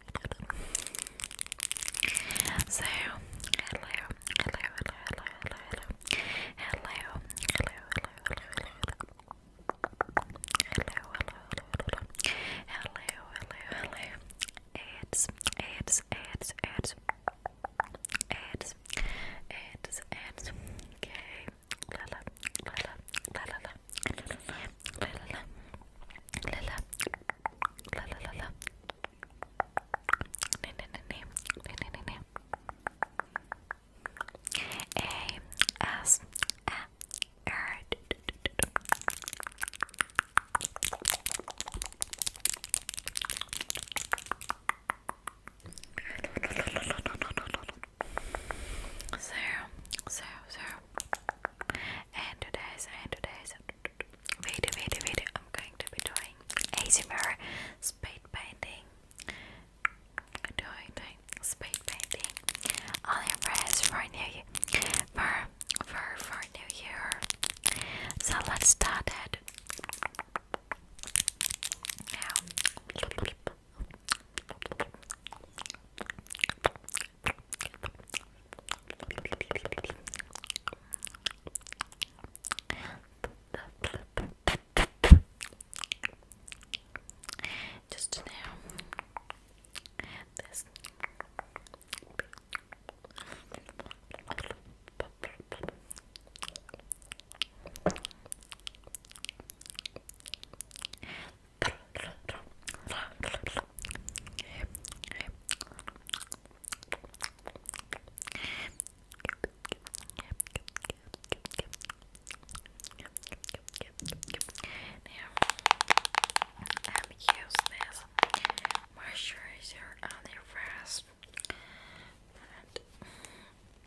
So, hello, hello, hello, hello, hello, hello, hello, hello, hello, hello, hello, hello, hello, hello, hello, hello, it's, it's, it's, it's, it's, it's, it's, okay, la la, la la, la la, la la, la la la la la la la la ne ne ne ne ne ne ne ne a s a r so, so, so, and today's, and today's video, video, video, I'm going to be doing ASMR spade painting. doing, doing spade painting. Only press for new year, for, for, for new year. So let's start it now. Just now, this. I'm use this moisturizer on your face.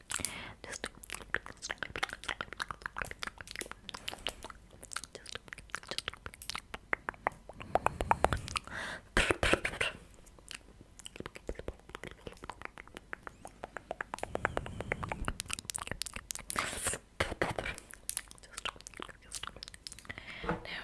Just, just, just. Now,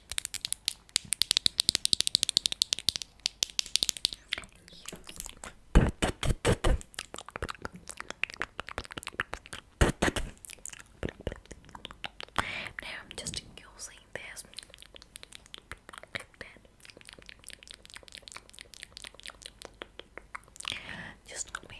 Now I'm just using this Just on my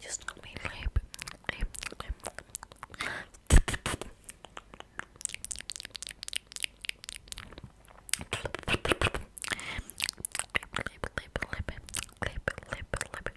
Just let me lip. Lip, lip, lip, lip, lip, lip, lip,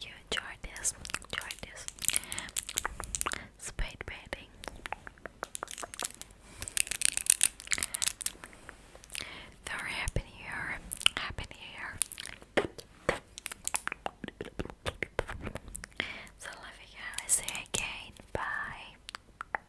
You enjoy this, enjoy this spade painting. Very happy new happy new So love you guys, see you again, bye.